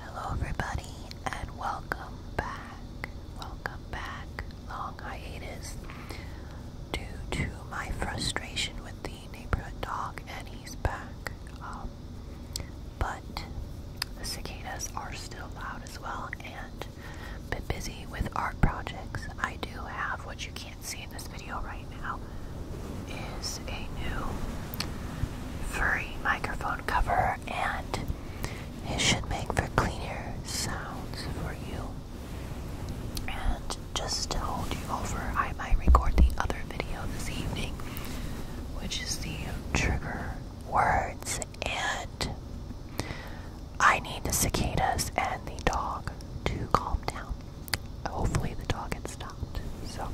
Hello, everybody, and welcome back. Welcome back, long hiatus, due to my frustration with the neighborhood dog, and he's back. Um, but the cicadas are still loud as well, and been busy with art projects. I do have what you can can see in this video right now is a new furry microphone cover and it should make for cleaner sounds for you. And just to hold you over, I might record the other video this evening, which is the trigger words and I need the cicadas and the dog to calm down hopefully the dog had stopped. So,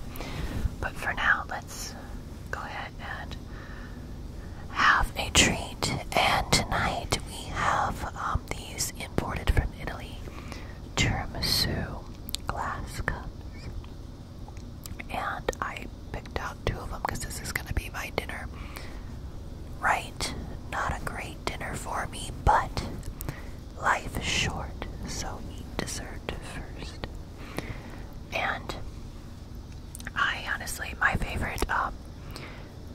but for now, let's go ahead and have a treat. And tonight we have um, these imported from Italy tiramisu glass cups, and I picked out two of them because this is going to be my dinner. Right, not a great dinner for me, but Life is short, so eat dessert first. And I honestly, my favorite um,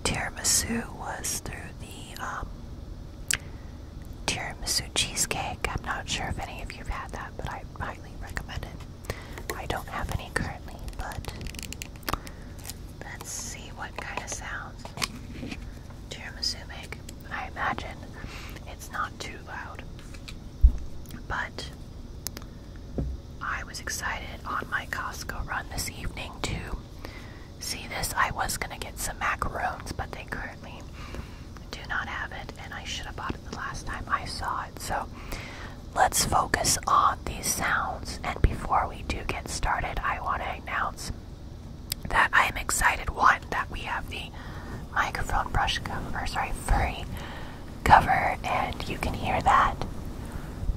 tiramisu was through the um, tiramisu cheesecake. I'm not sure if any of you've had that, but I highly recommend it. I don't have any currently, but Let's see what kind of sounds tiramisu I imagine it's not too loud, but I was excited on my Costco run this evening to see this. I was gonna get some macaroons, but they currently do not have it, and I should have bought it the last time I saw it. So let's focus on these sounds. And before we do get started, I want to acknowledge that I am excited one that we have the microphone brush cover, sorry, furry cover, and you can hear that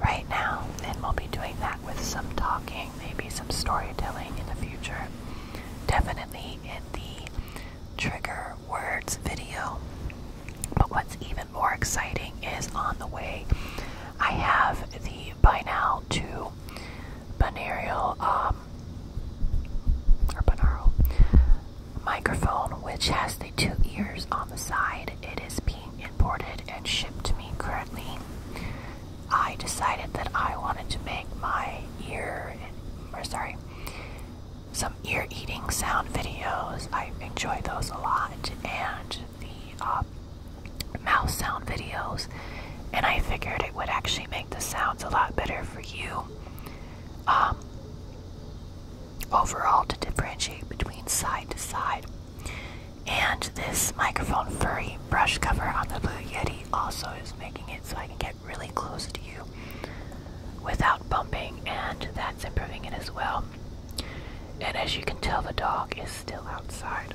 right now. And we'll be doing that with some talking, maybe some storytelling in the future. Definitely in the trigger words video. But what's even more exciting is on the way I have the by now to binaural um, or binaural microphone which has the two ears on the side. It is being imported and shipped to me currently. I decided that I wanted to make my ear or sorry some ear eating sound videos. I enjoy those a lot and the uh, mouse sound videos, and I figured it would actually make the sounds a lot better for you um, overall to differentiate between side to side. And this microphone furry brush cover on the Blue Yeti also is making it so I can get really close to you without bumping, and that's improving it as well. Um, and as you can tell, the dog is still outside.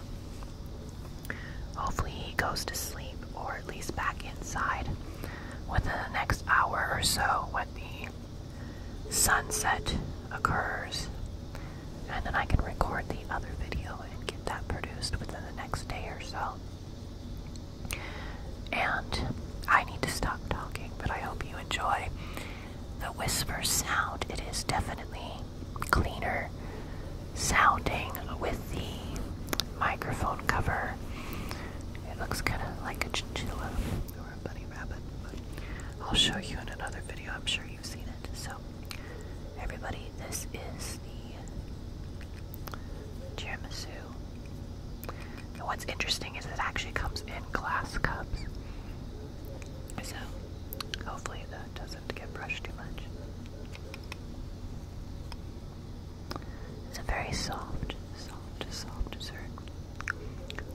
Hopefully, he goes to sleep or at least back inside within the next hour or so when the sunset occurs. And then I can record the other video and get that produced within the next day or so. And I need to stop talking, but I hope you enjoy the whisper sound, it is definitely cleaner sounding with the microphone cover. It looks kind of like a chinchilla or a bunny rabbit, but I'll show you in another video. I'm sure you've seen it. So, everybody, this is the tiramisu. And what's interesting is it actually comes in glass cups. So hopefully that doesn't get brushed too much. It's a very soft, soft, soft dessert.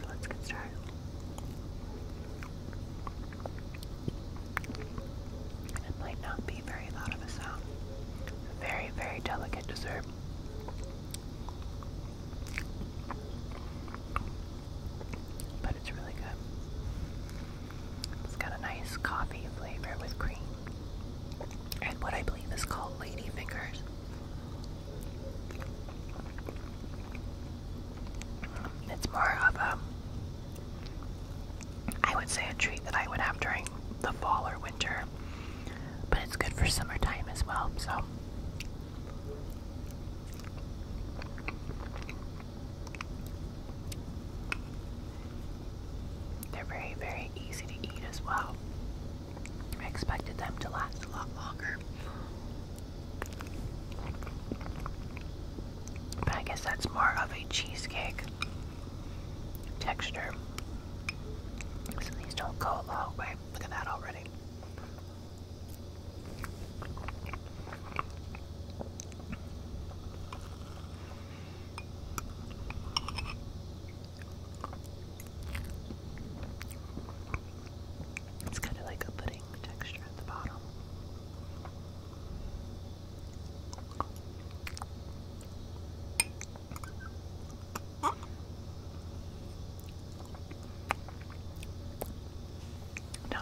let's get started. It might not be very loud of a sound. very, very delicate dessert. But it's really good. It's got a nice coffee flavor with cream and what I believe is called lady It's more of a, I would say, a treat that I would have during the fall or winter, but it's good for summertime as well. So they're very, very easy to eat as well. I expected them to last a lot longer. But I guess that's more of a cheesecake texture. So these don't go a long way. Okay, look at that already. It's kind of like a pudding texture at the bottom. Not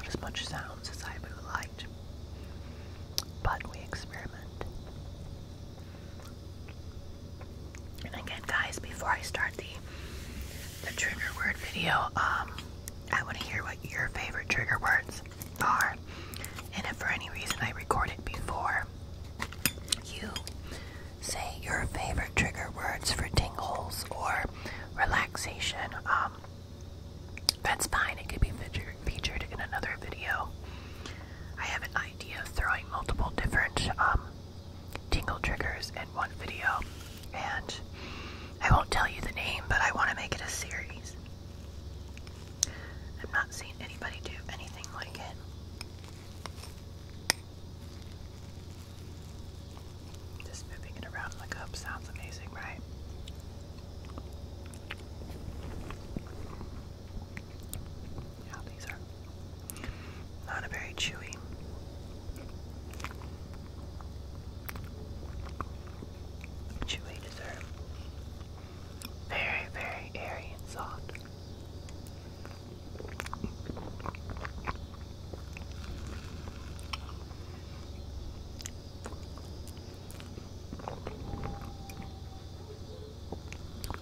as much sounds as I would have but we experiment. And again, guys, before I start the the trigger word video, um, I want to hear what your favorite trigger words are. And if for any reason I record it before you say your favorite trigger words for tingles or relaxation. Um, that's fine. It could be featured featured in another video. I have an idea of throwing multiple different um, tingle triggers in one video, and I won't tell you the name, but I want to make it a series. I've not seen anybody do anything like it. Just moving it around in the cup sounds amazing, right? Yeah, these are not a very chewy. Chewy dessert. Very, very airy and soft.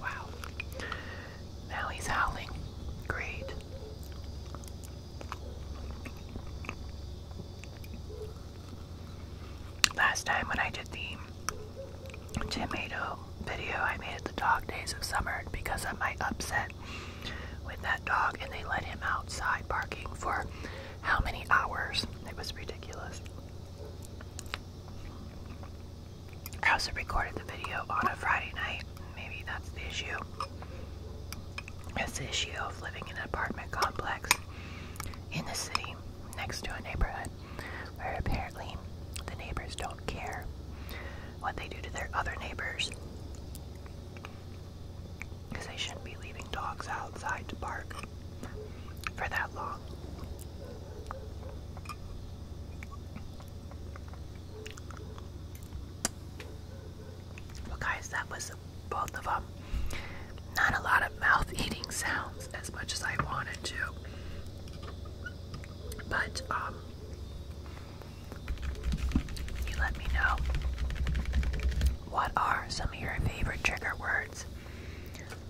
Wow. Now he's howling. Great. Last time when I did the tomato video I made at the dog days of summer because of my upset with that dog and they let him outside barking for how many hours. It was ridiculous. I also recorded the video on a Friday night. Maybe that's the issue. It's the issue of living in an apartment complex in the city next to a neighborhood where apparently the neighbors don't care what they do to their other neighbors because they shouldn't be leaving dogs outside to bark for that long. Well, guys, that was both of them. Not a lot of mouth eating sounds as much as I wanted to. But, um, you let me know what are some of your favorite trigger words.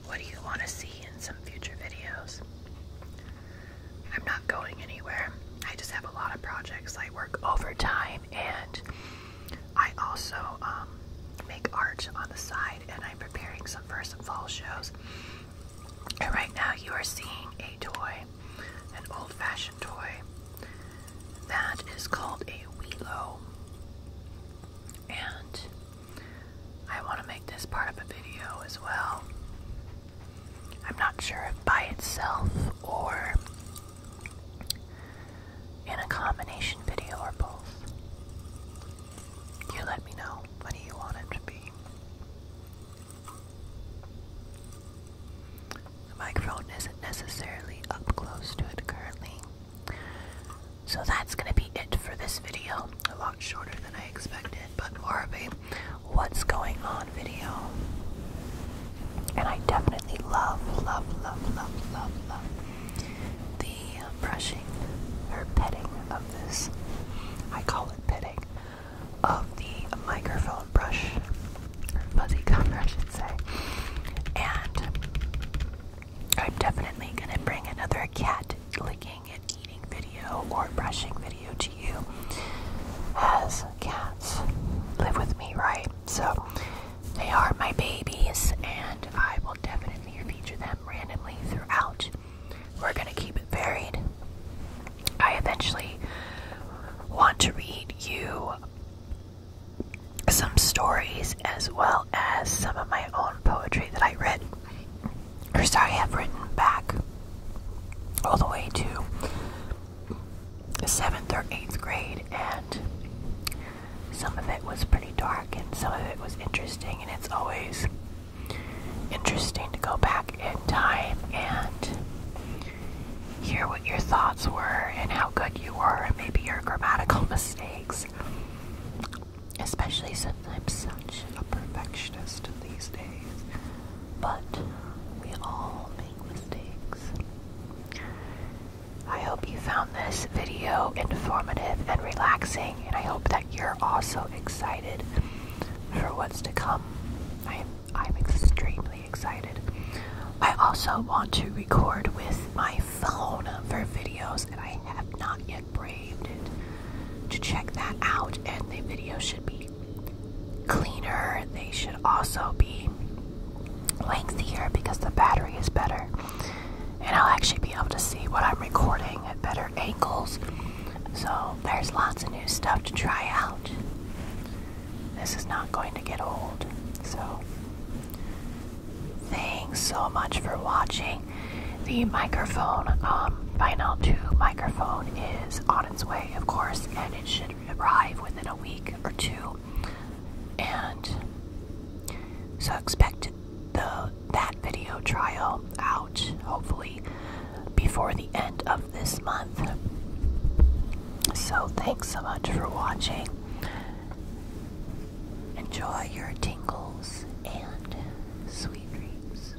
What do you want to see in some future videos? I'm not going anywhere. I just have a lot of projects. I work overtime and I also um, make art on the side, and I'm preparing some for some fall shows. And right now, you are seeing a toy, an old-fashioned toy that is called a Wheelo, and I want to make this part of a video as well. I'm not sure if by itself or in a combination video or both. You let me know. What do you want it to be? The microphone isn't necessarily up close to it currently. So that's going to be it for this video. A lot shorter than I expected, but more of a what's going on video. And I definitely love, love, love, love, love, love the brushing or petting of this. I call it petting of the microphone brush, or fuzzy cover, I should say. And I'm definitely going to bring another cat licking and eating video or brushing video to you, as cats live with me, right? So they are my babies, and I will definitely feature them randomly throughout. We're going to keep it varied. I eventually want to read you some stories as well as some of my own poetry that I read, or sorry, I have written back all the way to seventh or eighth grade, and some of it was pretty dark, and some of it was interesting, and it's always interesting to go back in time and hear what your thoughts were and how good you were, and maybe your grammatical mistakes. Especially since I'm such a perfectionist these days. But we all make mistakes. I hope you found this video informative and relaxing, and I hope that you're also excited for what's to come. I'm, I'm extremely excited. I also want to record with my phone for videos, that I have not yet braved it. To check that out, and the video should be cleaner. They should also be lengthier because the battery is better. And I'll actually be able to see what I'm recording at better angles. So there's lots of new stuff to try out. This is not going to get old. So thanks so much for watching. The microphone, um, vinyl 2 microphone is on its way, of course, and it should arrive within a week or two, and so expect the that video trial out hopefully before the end of this month. So thanks so much for watching. Enjoy your tingles and sweet dreams.